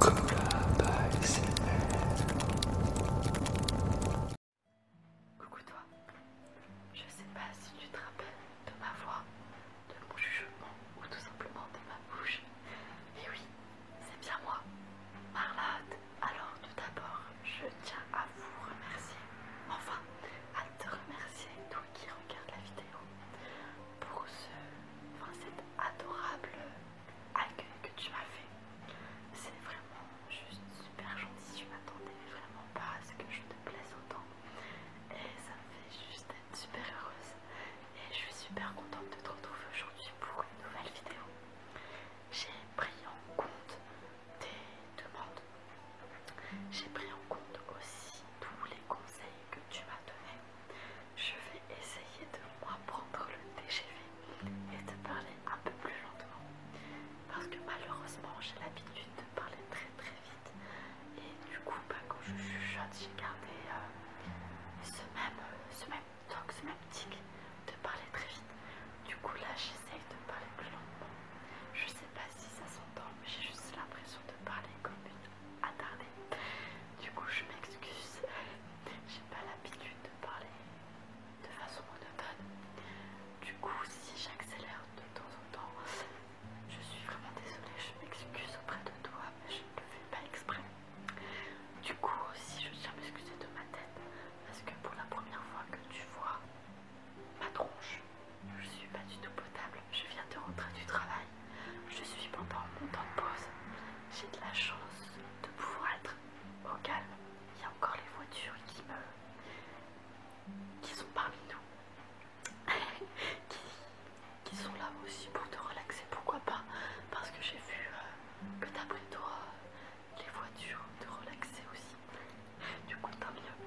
Coucou toi, je sais pas si tu te rappelles de ma voix, de mon jugement ou tout simplement de ma bouche. Et oui, c'est bien moi, Marlotte. Alors tout d'abord, je tiens à vous remercier, enfin à te remercier toi qui regardes la vidéo pour ce, cet adorable accueil que tu m'as fait. C'est vraiment juste super gentil. Je m'attendais vraiment pas à ce que je te plaise autant. Et ça me fait juste être super heureuse. Et je suis super contente de te retrouver aujourd'hui pour une nouvelle vidéo. J'ai pris en compte tes demandes. J'ai pris en compte aussi tous les conseils que tu m'as donné, je vais essayer de moi prendre le TGV et de parler un peu plus lentement. Parce que malheureusement, j'ai l'habitude de parler très très vite. Et du coup, bah, quand je chuchote, j'ai gardé euh, ce, même, euh, ce même ce même tic de parler très vite. Du coup, là, j'essaye de parler plus lentement. Je sais pas si ça s'entend, mais j'ai juste l'impression de parler comme une attardé. Du coup, je m'excuse, j'ai pas l'habitude de parler de façon monotone. Du coup, si j'accélère de temps en temps, je suis vraiment désolée, je m'excuse auprès de toi, mais je ne le fais pas exprès. Du coup, aussi, je tiens à m'excuser de ma tête parce que pour la première fois que tu vois ma tronche, je suis pas du tout potable, je viens de rentrer du travail. Je suis pendant mon temps de pause. J'ai de la chance de pouvoir être au calme. Il y a encore les voitures qui me. qui sont parmi nous. qui, sont là aussi pour te relaxer, pourquoi pas Parce que j'ai vu euh, que d'après toi, euh, les voitures te relaxer aussi. Du coup, tant mieux.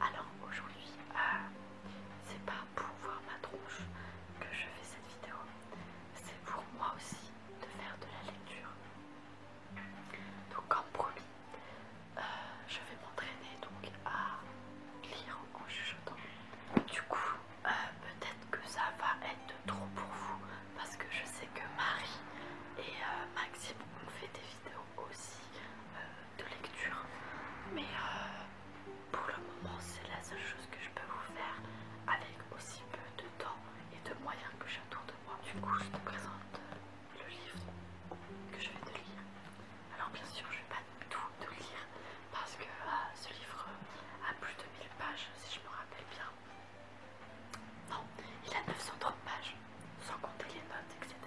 Alors aujourd'hui, euh, c'est pas pour voir ma tronche que je fais cette vidéo, c'est pour moi aussi de faire de la lecture. Donc comme promis, euh, je vais m'entraîner donc à lire en chuchotant. Du coup, euh, peut-être que ça va être trop pour vous parce que je sais que Marie et Maxime ont fait des vidéos aussi de lecture. Mais euh, pour le moment, c'est la seule chose que je peux vous faire avec aussi peu de temps et de moyens que j'ai autour de moi. Du coup, je te présente euh, le livre que je vais te lire. Alors bien sûr, je vais pas tout te lire parce que euh, ce livre a plus de 1000 pages, si je me rappelle bien. Non, il a 930 pages, sans compter les notes, etc.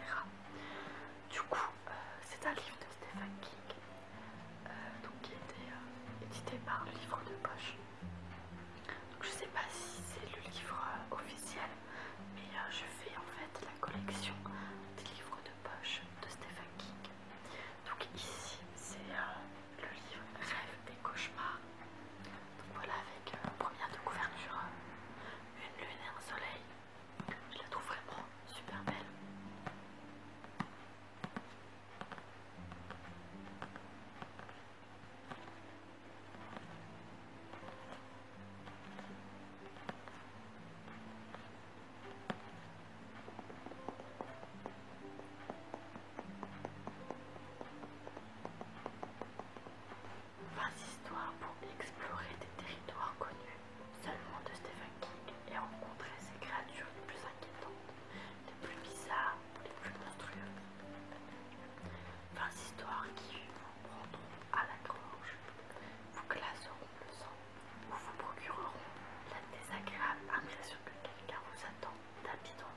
Du coup, euh, c'est un livre de Stephen King, euh, qui était été euh, édité par Livre de Poche. je ne sais pas si c'est le livre officiel, mais je fais en fait la collection des livres de poche de Stephen King. Donc ici, c'est le livre Rêve et cauchemars. Donc voilà, avec première de couverture, une lune et un soleil. Je la trouve vraiment super belle. 20 histoires pour explorer des territoires connus seulement de Stephen King et rencontrer ces créatures les plus inquiétantes, les plus bizarres, les plus monstrueuses. 20 histoires qui vous prendront à la grange, vous glaceront le sang ou vous procureront la désagréable impression que quelqu'un vous attend d'habitant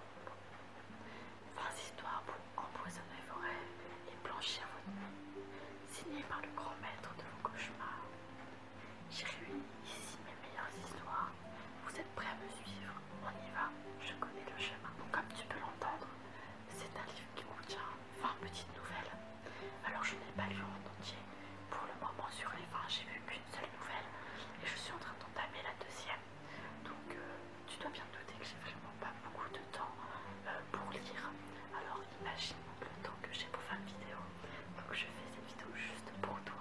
dans histoires pour empoisonner vos rêves et blanchir votre main signé par le grand maître de vos cauchemars. J'ai réuni ici mes meilleures histoires. Vous êtes prêts à me suivre On y va, je connais le chemin. Comme tu peux l'entendre, c'est un livre qui contient 20 petites nouvelles. Alors je n'ai pas lu en entier. Pour le moment, sur les 20, j'ai vu qu'une seule nouvelle et je suis en train d'entamer la deuxième. Donc euh, tu dois bien te douter que j'ai vraiment pas beaucoup de temps euh, pour lire. Alors imagine le temps que j'ai pour faire une vidéo. Donc je fais cette vidéo juste pour toi.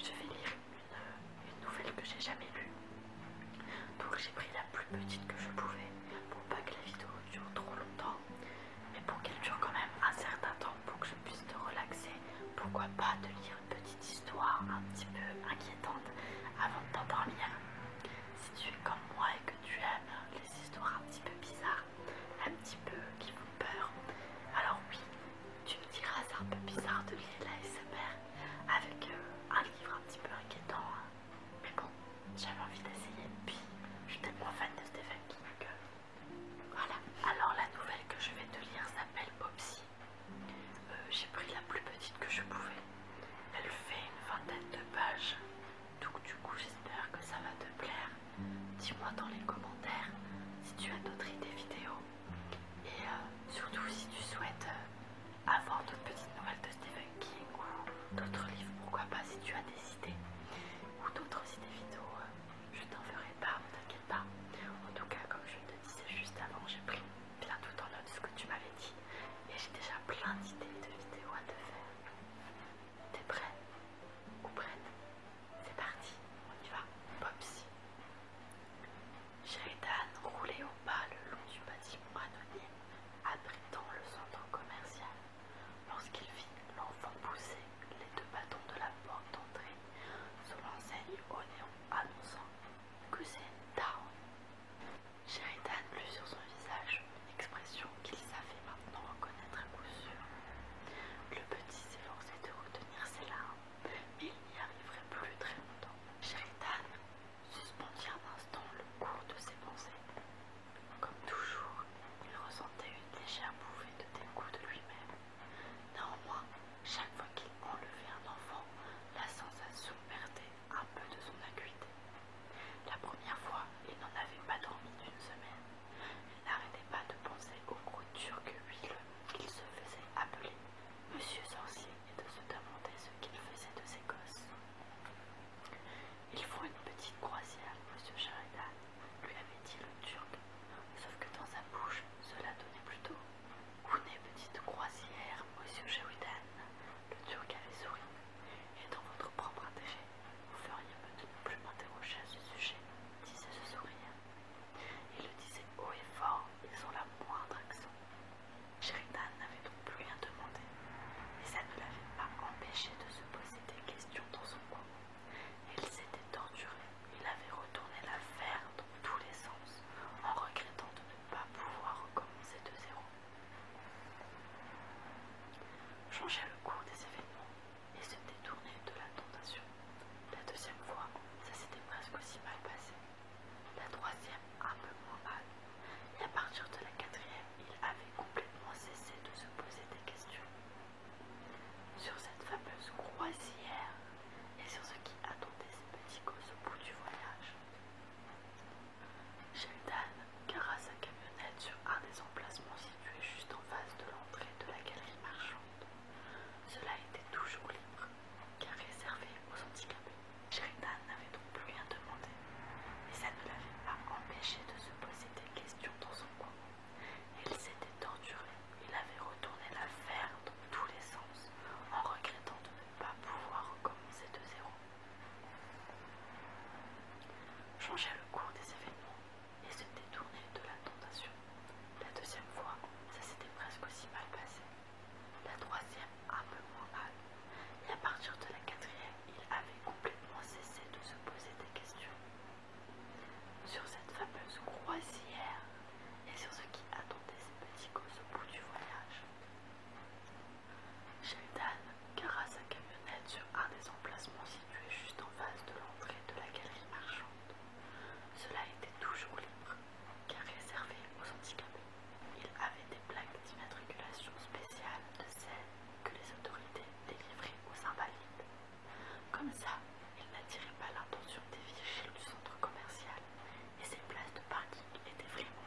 Je vais lire euh, une, nouvelle que j'ai jamais lue. Donc j'ai pris la plus petite que je pouvais pour pas que la vidéo dure trop longtemps. Mais pour qu'elle dure quand même un certain temps pour que je puisse te relaxer. Pourquoi pas te lire une petite histoire un petit peu inquiétante avant de t'endormir. Si tu es comme moi et que tu aimes les histoires un petit peu bizarres, un petit peu qui vous peur. Alors oui, tu me diras, c'est un peu bizarre de lire l'ASMR avec euh, un livre un petit peu inquiétant. Hein. Mais bon, j'avais envie d'essayer. Puis, je suis tellement fan de Stephen King que... Voilà. Alors la nouvelle que je vais te lire s'appelle Popsy. Euh, j'ai pris la plus petite que je pouvais. Elle fait une vingtaine de pages. Donc du coup j'espère que ça va te plaire. Dis-moi dans les commentaires si tu as d'autres idées vidéos. Et euh, surtout si tu souhaites euh, avoir d'autres petites nouvelles de Stephen King ou d'autres livres, pourquoi pas si tu as des idées. Ou d'autres idées vidéo, euh, je t'en ferai part, ne t'inquiète pas. En tout cas, comme je te disais juste avant, j'ai pris plein tout en note ce que tu m'avais dit. Et j'ai déjà plein d'idées de vidéos à te faire. T'es prêt Ou prête C'est parti, on y va. Popsy. Sheridan roulait au bas le long du bâtiment anonyme abritant le centre commercial lorsqu'il vit l'enfant pousser les deux bâtons de la porte d'entrée sur l'enseigne au néon annonçant c'est Town. Sheridan lut sur son visage une expression qu'il savait maintenant reconnaître à coup sûr. Le petit s'efforçait de retenir ses larmes, mais il n'y arriverait plus très longtemps. Sheridan suspendit un instant le cours de ses pensées. Comme toujours, il ressentait une légère bouffée de dégoût de lui-même. Néanmoins, chaque fois qu'il enlevait un enfant, la sensation perdait un peu de son acuité. La première fois, il n'en avait pas dormi une semaine. Il n'arrêtait pas de penser au gros turc qu'il se faisait appeler Monsieur Sorcier et de se demander ce qu'il faisait de ses gosses. Il faut une petite croisière, Monsieur Sheridan, lui avait dit le turc, sauf que dans sa bouche, cela donnait plutôt une petite croisière, Monsieur Sheridan, le Turc avait souri. Et dans votre propre intérêt, vous feriez mieux de ne plus m'interroger à ce sujet, disait ce sourire. Il le disait haut et fort, et sans la moindre accent. Sheridan n'avait donc plus rien demandé, mais ça ne l'avait pas empêché de se poser des questions dans son coin. Il s'était torturé, il avait retourné l'affaire dans tous les sens, en regrettant de ne pas pouvoir recommencer de zéro. Changer le cours des événements et se détourner de la tentation. La deuxième fois, ça s'était presque aussi mal passé. La troisième, un peu moins mal. Et à partir de la quatrième, il avait complètement cessé de se poser des questions. Sur cette fameuse croisière et sur ce qui attendait ce petits gosses au bout du voyage. Sheridan gara sa camionnette sur un des emplacements situés juste en face de l'entrée de la galerie marchande. Cela était toujours libre, car réservé aux handicapés. Sheridan n'avait donc plus rien demandé, mais ça ne l'avait pas empêché de se poser des questions dans son coin. Il s'était torturé, il avait retourné l'affaire dans tous les sens, en regrettant de ne pas pouvoir recommencer de zéro. Changer le cours des événements et se détournait de la tentation. La deuxième fois, ça s'était presque aussi mal passé. La troisième, un peu moins mal. Et à partir de la quatrième, il avait complètement cessé de se poser des questions. Sur cette fameuse croisière et sur ce qui attendait ses petits gosses au bout du voyage. Sheldon garra sa camionnette sur un des emplacements situés juste en face de l'entrée de la galerie marchande. Cela était toujours libre, car réservé aux handicapés. Il avait des plaques d'immatriculation spéciales de celles que les autorités délivraient aux invalides. Comme ça, il n'attirait pas l'attention des vigiles du centre commercial, et ses places de parking étaient vraiment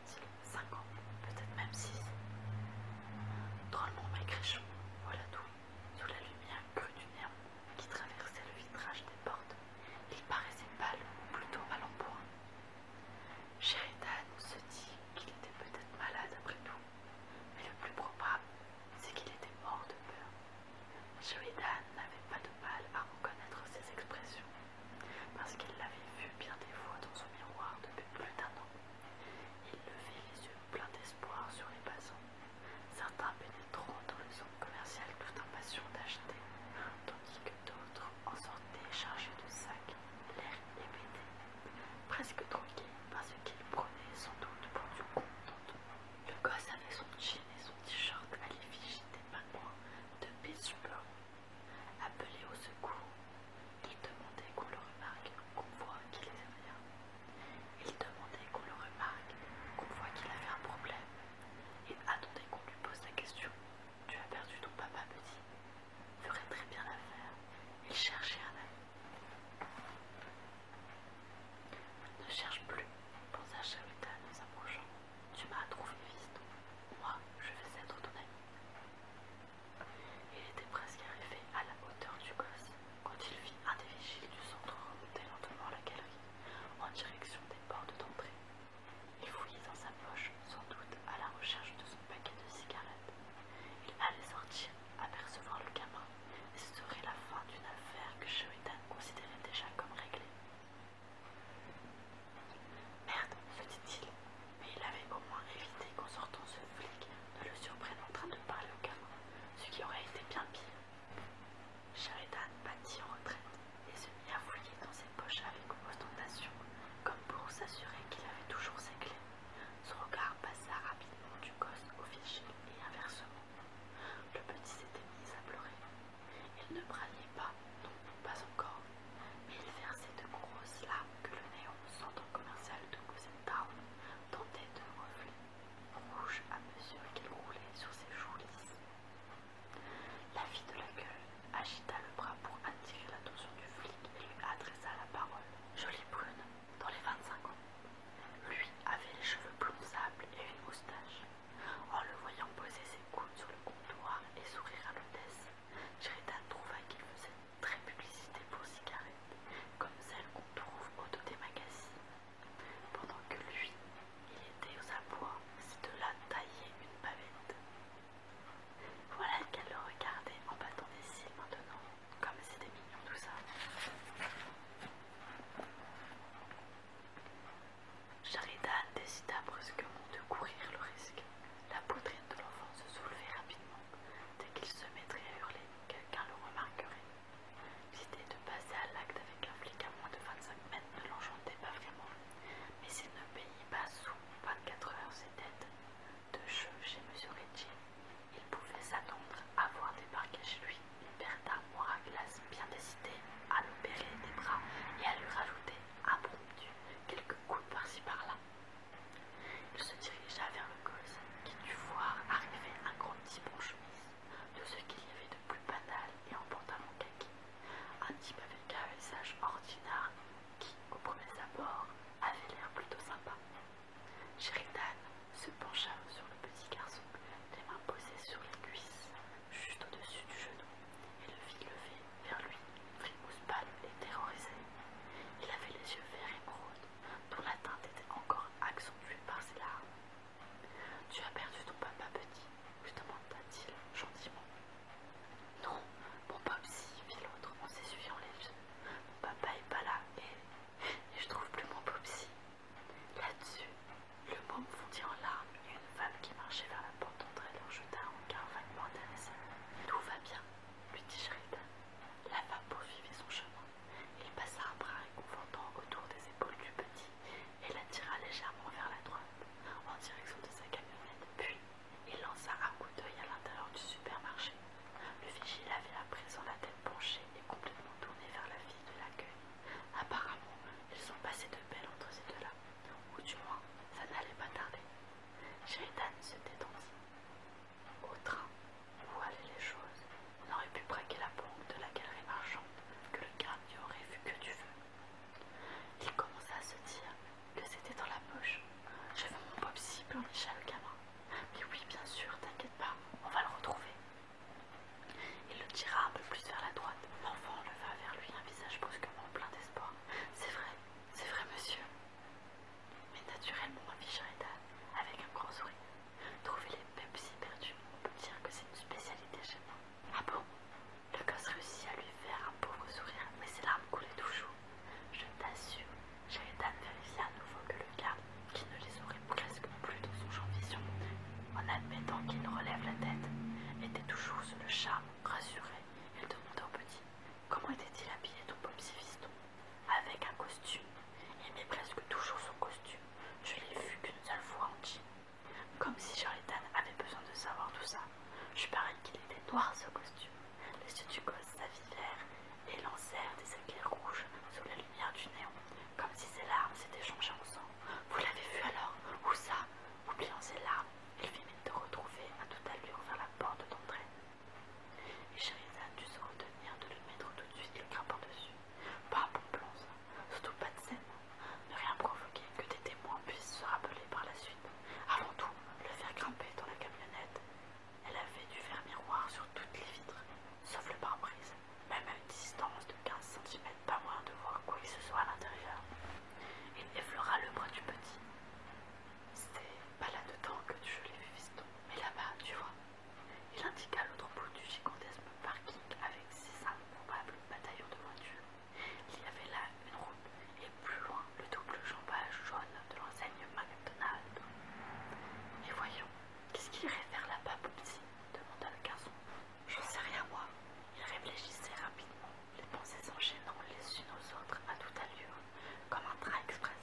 « Cinq 5 ans, peut-être même 6. Drôlement maigrichon, voilà tout, sous la lumière crue du nerf qui traversait le vitrage des portes, il paraissait pâle ou plutôt mal en point. Sheridan se dit qu'il était peut-être malade après tout, mais le plus probable, c'est qu'il était mort de peur. Sheridan n'avait pas de mal à reconnaître ses expressions, parce qu'il l'avait vu bien des fois dans son miroir depuis plus d'un an. Il levait les yeux pleins d'espoir sur les passants. Certains pénétraient dans les centre commercial tout impatients d'acheter, tandis que d'autres en sortaient chargés de sacs, l'air hébété, presque par parce qu'ils prenaient sans doute pour du compte. Le gosse avait son jean et son t-shirt à l'effigie des pingouins de Pittsburgh Appelé au secours. Il demandait qu'on le remarque, qu'on voit qu'il était rien. Il demandait qu'on le remarque, qu'on voit qu'il avait un problème. Et attendait qu'on lui pose la question. Tu as perdu ton papa, petit. Ferait très bien l'affaire. Il cherchait un ami. Ne cherche plus, pensa à nous s'approchant. Tu m'as trouvé, fiston. Moi, je vais être ton ami. Il était presque arrivé à la hauteur du gosse quand il vit un des vigiles du centre remonter lentement la galerie en direction des portes d'entrée. Il fouillait dans sa poche, sans doute à la recherche de son paquet de cigarettes. Il allait sortir, apercevoir le gamin, et ce serait la fin d'une affaire que Sheridan considérait déjà comme réglée. Merde, se dit-il, mais il avait au moins évité qu'en sortant ce flic ne le surprenne en train de parler au gamin, ce qui aurait été bien pire. Sheridan battit en retraite et se mit à fouiller dans ses poches avec ostentation, comme pour s'assurer qu'il avait toujours ses clés. Son regard passa rapidement du coste au fichier et inversement. Le petit s'était mis à pleurer. Il ne braillait pas, non, pas encore, il versait de grosses larmes que le néon, centre commercial de Cousin tentait de reflet rouge à mesure qu'il roulait sur ses joues lisses. La fille de la gueule agita le bras pour attirer l'attention du flic et lui adressa la parole. Jolie brune, dans les 25 ans. Lui avait les cheveux blonds et une moustache. En le voyant poser ses coudes sur le comptoir et sourire à l'hôtesse, Sheridan trouva qu'il faisait très publicité pour cigarettes, comme celle qu'on trouve au des magazines. Pendant que lui, il était aux abois, c'est de là tailler une pavette. Voilà qu'elle le regardait en battant des cils maintenant, comme c'était mignon tout ça. Sheridan décida brusquement de courir le risque. La poutrine de l'enfant se soulevait rapidement dès qu'il se mettrait à hurler, quelqu'un le remarquerait. L'idée de passer à l'acte avec un flic à moins de 25 mètres ne l'enchantait pas vraiment, mais s'il ne payait pas sous 24 heures ses dettes de jeu chez M. Ritchie, il pouvait s'attendre à voir débarquer chez lui une paire moi à glace bien décidée à l'opérer des bras et à lui rajouter à quelques coups par-ci par-là. Il se dirigea vers le gosse, qui dut voir arriver un grand type en chemise, de ce qu'il y avait de plus banal et en pantalon kaki. Un type avec un visage ordinaire qui, au premier abord, avait l'air plutôt sympa. Sheridan se pencha sur le petit garçon, les mains posées sur les cuisses, juste au-dessus du genou et le fit lever vers lui. Frimousse pâle et terrorisée. Il avait les yeux verts et bruns, dont la teinte était encore accentuée par ses larmes. Tu as perdu ton papa, petit lui demanda-t-il gentiment. Non, mon popsy, fit l'autre en s'essuyant les yeux. Mon papa est pas là et, je trouve plus mon popsy. Là-dessus, le bon fondit en larmes et une femme qui marchait vers la porte d'entrée leur tout va bien, lui dit Sheridan. La femme poursuivit son chemin. Il passa un bras réconfortant autour des épaules du petit et l'attira légèrement vers la droite, en direction de sa camionnette. Puis, il lança un coup d'œil à l'intérieur du supermarché. Le vigile avait à présent la tête penchée et complètement tournée vers la fille de l'accueil. Apparemment, ils sont passés de belle entre ces deux-là, ou du moins, ça n'allait pas tarder. Sheridan se détendit. Au train, où allaient les choses, on aurait pu braquer la banque de la galerie marchande, que le gars n'y aurait vu que du feu. Il commença à se dire que c'était dans la poche. J'avais mon en on le gamin. Mais oui, bien sûr, t'inquiète pas, on va le retrouver. Il le tira un peu plus vers la droite. L'enfant leva vers lui un visage brusquement plein d'espoir. C'est vrai, c'est vrai, monsieur. Mais naturellement, afficha Rita avec un grand sourire. Trouver les mêmes si perdus, on peut dire que c'est une spécialité chez moi. Ah bon Le gosse réussit à lui faire un pauvre sourire, mais ses larmes coulaient toujours. Je t'assure, Sheridan vérifia à nouveau que le garde, qui ne les aurait presque plus dans son champ de vision, en admettant qu'il ne relève la tête, était toujours sous le charme, rassuré, elle demanda au petit Comment était-il habillé ton petit Fiston Avec un costume. Il aimait presque toujours son costume. Je l'ai vu qu'une seule fois en jean. Comme si Charlatan avait besoin de savoir tout ça. Je parie qu'il était noir ce costume. Les yeux du gosse et lancèrent des éclairs rouges sous la lumière du néon, comme si ses larmes s'étaient changées en sang. Vous l'avez vu alors Où ça Oubliant ses larmes, il fit de retrouver à toute allure vers la porte d'entrée. Et Sherizade dut se retenir de lui mettre tout de suite le crâne par-dessus. Pas bon plan, ça. surtout pas de scène. Ne rien provoquer, que des témoins puissent se rappeler par la suite. Avant tout, le faire grimper dans la camionnette. Elle avait dû faire miroir sur toutes les vitres, sauf le pare-brise, même à une distance de 15 cm, pas moins de voir quoi que ce soit à l'intérieur. Il effleura le bras du petit. C'est pas là-dedans que tu l'ai vu, fiston, mais là-bas, tu vois. Il indiqua l'autre bout du gigantesque parking avec ses improbables bataillons de voitures. Il y avait là une route et plus loin le double jambage jaune de l'enseigne McDonald's. Et voyons, qu'est-ce qu'il irait faire là-bas, petit ?» demanda le garçon. J'en sais rien, moi. Il réfléchissait rapidement. Les pensées s'enchaînant les unes aux autres à toute allure, comme un train express.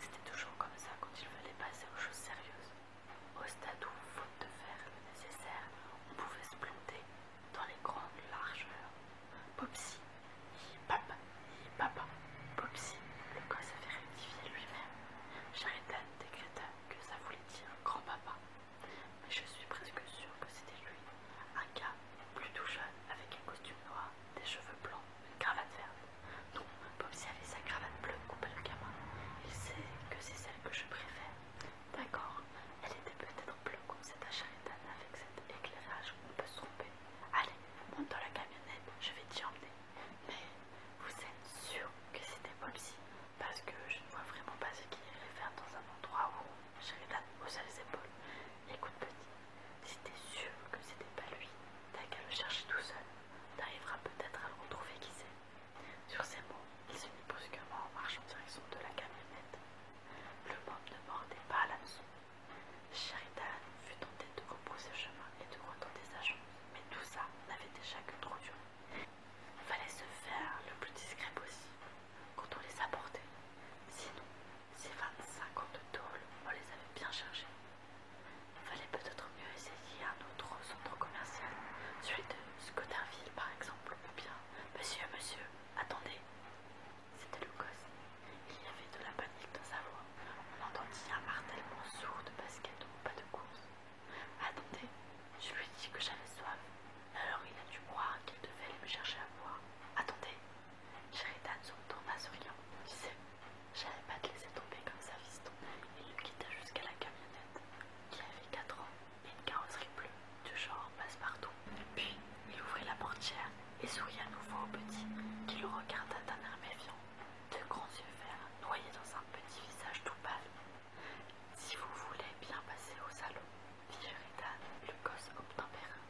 C'était toujours comme ça quand il fallait passer aux choses sérieuses. Au stade où, faute de faire le nécessaire, on pouvait se planter dans les grandes largeurs. Popsy, papa, papa, Popsy, le gosse avait rectifié lui-même. Sheridan décréta que ça voulait dire grand-papa. Mais je suis presque sûre que c'était lui un gars, plutôt jeune, avec un costume noir, des cheveux blancs, une cravate verte. Non, Popsy avait sa cravate bleue coupée le gamin. Il sait que c'est celle que je préfère. D'accord, elle était peut-être bleue comme cette acharitane avec cet éclairage on peut se tromper. Allez, monte dans la camionnette, je vais t'y emmener. Mais vous êtes sûr que c'était Popsy Parce que je ne vois vraiment pas ce qu'il irait faire dans un endroit où Sheridan haussa les épaules. Écoute, petit, si t'es sûr que c'était pas lui, t'as qu'à le chercher tout seul. T'arriveras peut-être à le retrouver, qui sait. Sur ces mots, il se mit brusquement en marche en direction de la camionnette. Le môme ne mordait pas à maison. Sheridan fut tenté de repousser chemin et de retourner sa agents, mais tout ça n'avait déjà que trop Il Fallait se faire le plus discret possible quand on les apportait. Sinon, ces 25 ans de tôle, on les avait bien chargés. Il fallait peut-être mieux essayer un autre centre commercial, celui de Scotterville par exemple, ou bien Monsieur, monsieur, attendez. C'était le gosse. Il y avait de la panique dans sa voix. On entendit un martèlement sourd de basket ou pas de course. Attendez, je lui dis que j'avais soif. Alors il a dû croire qu'il devait aller me chercher à boire. Attendez, Sheridan se retourna souriant. Tu sais, j'allais pas te laisser tomber comme ça, fiston. Il le quitta jusqu'à la camionnette, qui avait quatre ans et une carrosserie bleue, du genre passe-partout. Puis il ouvrit la portière et sourit à nouveau au petit, qui le regarda d'un air méfiant, de grands yeux verts noyés dans un petit visage tout pâle. Si vous voulez bien passer au salon, Pierre le gosse obtempéré.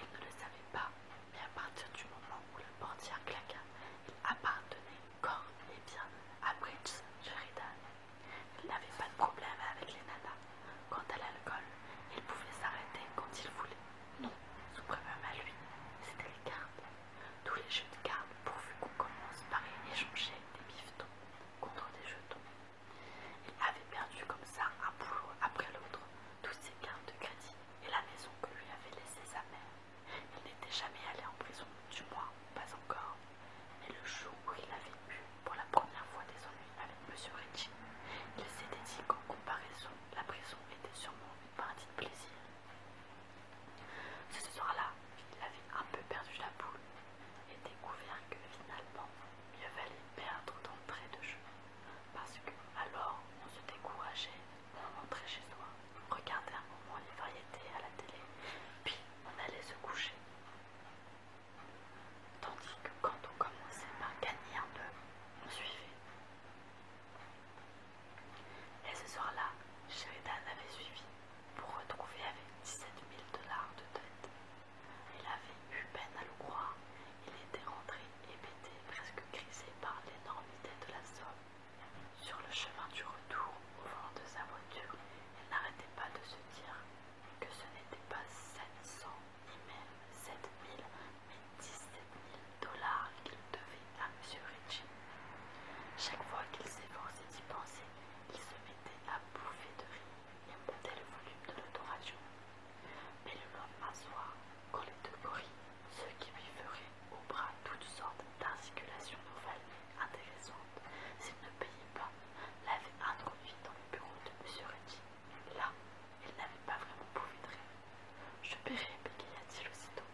Il ne le savait pas, mais à partir du moment où la portière claqua, il appartenait corps et bien à Bridge Sheridan. Il n'avait pas de problème avec les nanas. Quant à l'alcool, il pouvait s'arrêter quand il voulait. Non, sous problème à lui, c'était les cartes. Tous les jeux de cartes pourvu qu'on commence par échanger des bifetons contre des jetons. Il avait perdu comme ça un boulot après l'autre, toutes ses cartes de crédit et la maison que lui avait laissée sa mère. Il n'était jamais allé en prison, du moins pas encore. Mais le jour où il avait eu pour la première fois des ennuis avec Monsieur Ritchie, il s'était dit qu'en comparaison, la prison était sûrement une partie de plaisir. Ce soir-là, il avait un peu perdu la boule et découvert que finalement, mieux valait perdre d'entrée de jeu, parce que alors on se décourageait, on rentrait chez soi, on regardait un moment les variétés à la télé, puis on allait se coucher. Tandis que quand on commençait par gagner un peu, on suivait. Et ce soir-là, Sheridan avait suivi pour retrouver avec 17 000 dollars de dette il avait eu peine à le croire. Il était rentré, hébété, presque grisé par l'énormité de la somme. Sur le chemin du retour, au vent de sa voiture, il n'arrêtait pas de se dire que ce n'était pas cents, ni même mille, mais mille dollars qu'il devait à M. Ritchie. Chaque fois qu'il s'efforçait d'y penser, il se mettait à bouffer de rire il montait le volume de l'autoradio, Mais le lendemain soir, quand les deux gorilles, ceux qui lui feraient au bras toutes sortes d'articulations nouvelles et intéressantes, s'il ne payait pas, l'avait introduit dans le bureau de M. Reddy. Là, il n'avait pas vraiment pouvoir de Je paierai, bégaya-t-il aussitôt.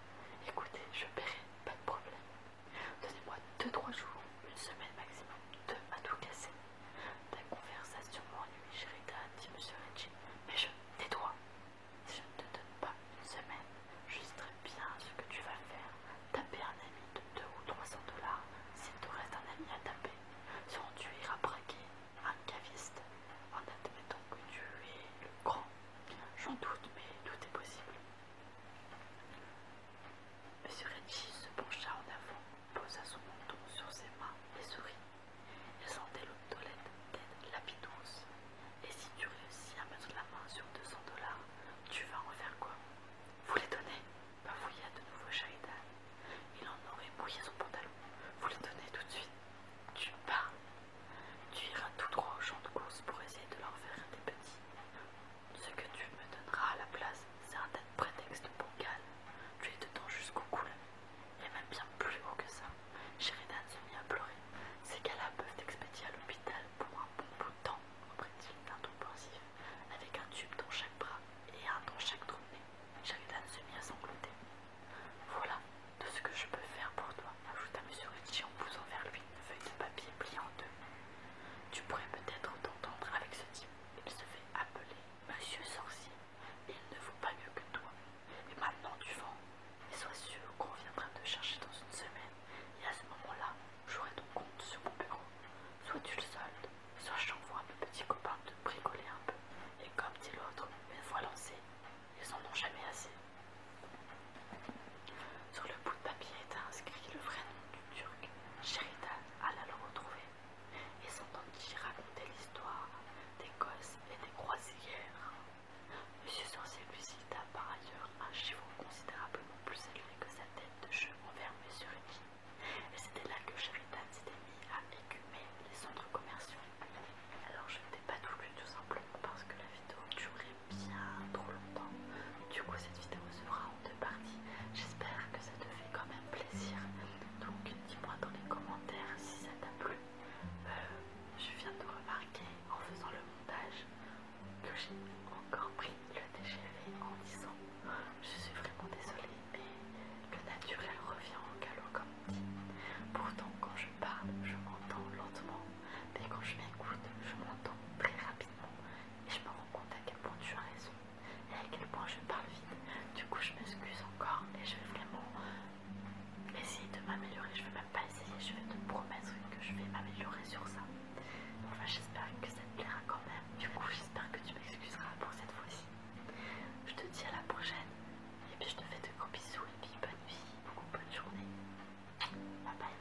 Écoutez, je paierai, pas de problème. Donnez-moi deux, trois jours, une semaine maximum, deux à tout casser. Ta conversation m'ennuie, Sherita, dit M. Ritchie, « Mais je. Tais-toi Si je ne te donne pas une semaine, je très bien ce que tu vas faire. Taper un ami de 2 ou 300 dollars s'il te reste un ami à taper. Sinon, tu iras braquer un caviste en admettant que tu es le grand. J'en doute, mais tout est possible. Monsieur Ritchie se pencha en avant posa son menton sur ses mains et sourit. Elle sentait toilette tête lapidose. Et si tu réussis à mettre la main sur 200 dollars, tu vas en faire quoi Vous les donnez fouiller de nouveau Shaidan. Il en aurait mouillé son pantalon. Vous les donner tout de suite. Tu pars. Tu iras tout droit au champ de course pour essayer de leur faire des petits. Ce que tu me donneras à la place, c'est un prétexte de pour Tu es dedans jusqu'au cou Et même bien plus haut que ça. Sheridan se mit à pleurer. Ces qu'elle là peuvent t'expédier à l'hôpital pour un bon bout de temps, reprit-il d'un ton pensif, avec un tube dans chaque bras et un dans chaque trou de nez. Sheridan se mit à sangloter. Voilà de ce que je peux faire pour toi, ajouta M. Ritchie en poussant vers lui une feuille de papier pliée en deux. Tu pourrais peut-être t'entendre avec ce type. Il se fait appeler Monsieur Sorcier. Il ne vaut pas mieux que toi. Et maintenant tu vends. Et sois sûr qu'on viendra te chercher dans une semaine. Et à ce moment-là, j'aurai ton compte sur mon bureau. Soit tu le soldes, soit je t'envoie mes petits copains de bricoler un peu. Et comme dit l'autre, une fois lancé, ils en ont jamais assez. Sur le papier était inscrit le vrai nom du Turc, Sheridan alla le retrouver, et s'entendit raconter l'histoire des gosses et des croisières. Monsieur Sorcier visita par ailleurs un cheval considérablement plus élevé que sa tête de cheveux envers sur qui et c'était là que Sheridan s'était mis à écumer les centres commerciaux. Alors je ne t'ai pas tout lu tout simplement parce que la vidéo durait bien trop longtemps. Du coup cette vidéo sera J'espère que ça te fait quand même plaisir. Donc dis-moi dans les commentaires si ça t'a plu. Euh, je viens de remarquer en faisant le montage que j'ai encore pris le TGV en disant je suis vraiment désolée mais le naturel revient en galop comme dit. Pourtant quand je parle je m'entends lentement mais quand je m'écoute je m'entends très rapidement et je me rends compte à quel point tu as raison et à quel point je parle vite. Du coup, je m'excuse encore et je vais vraiment essayer de m'améliorer. Je vais même pas essayer, je vais te promettre que je vais m'améliorer sur ça. Enfin, j'espère que ça te plaira quand même. Du coup, j'espère que tu m'excuseras pour cette fois-ci. Je te dis à la prochaine et puis je te fais de gros bisous et puis bonne nuit, beaucoup bonne journée. Bye bye.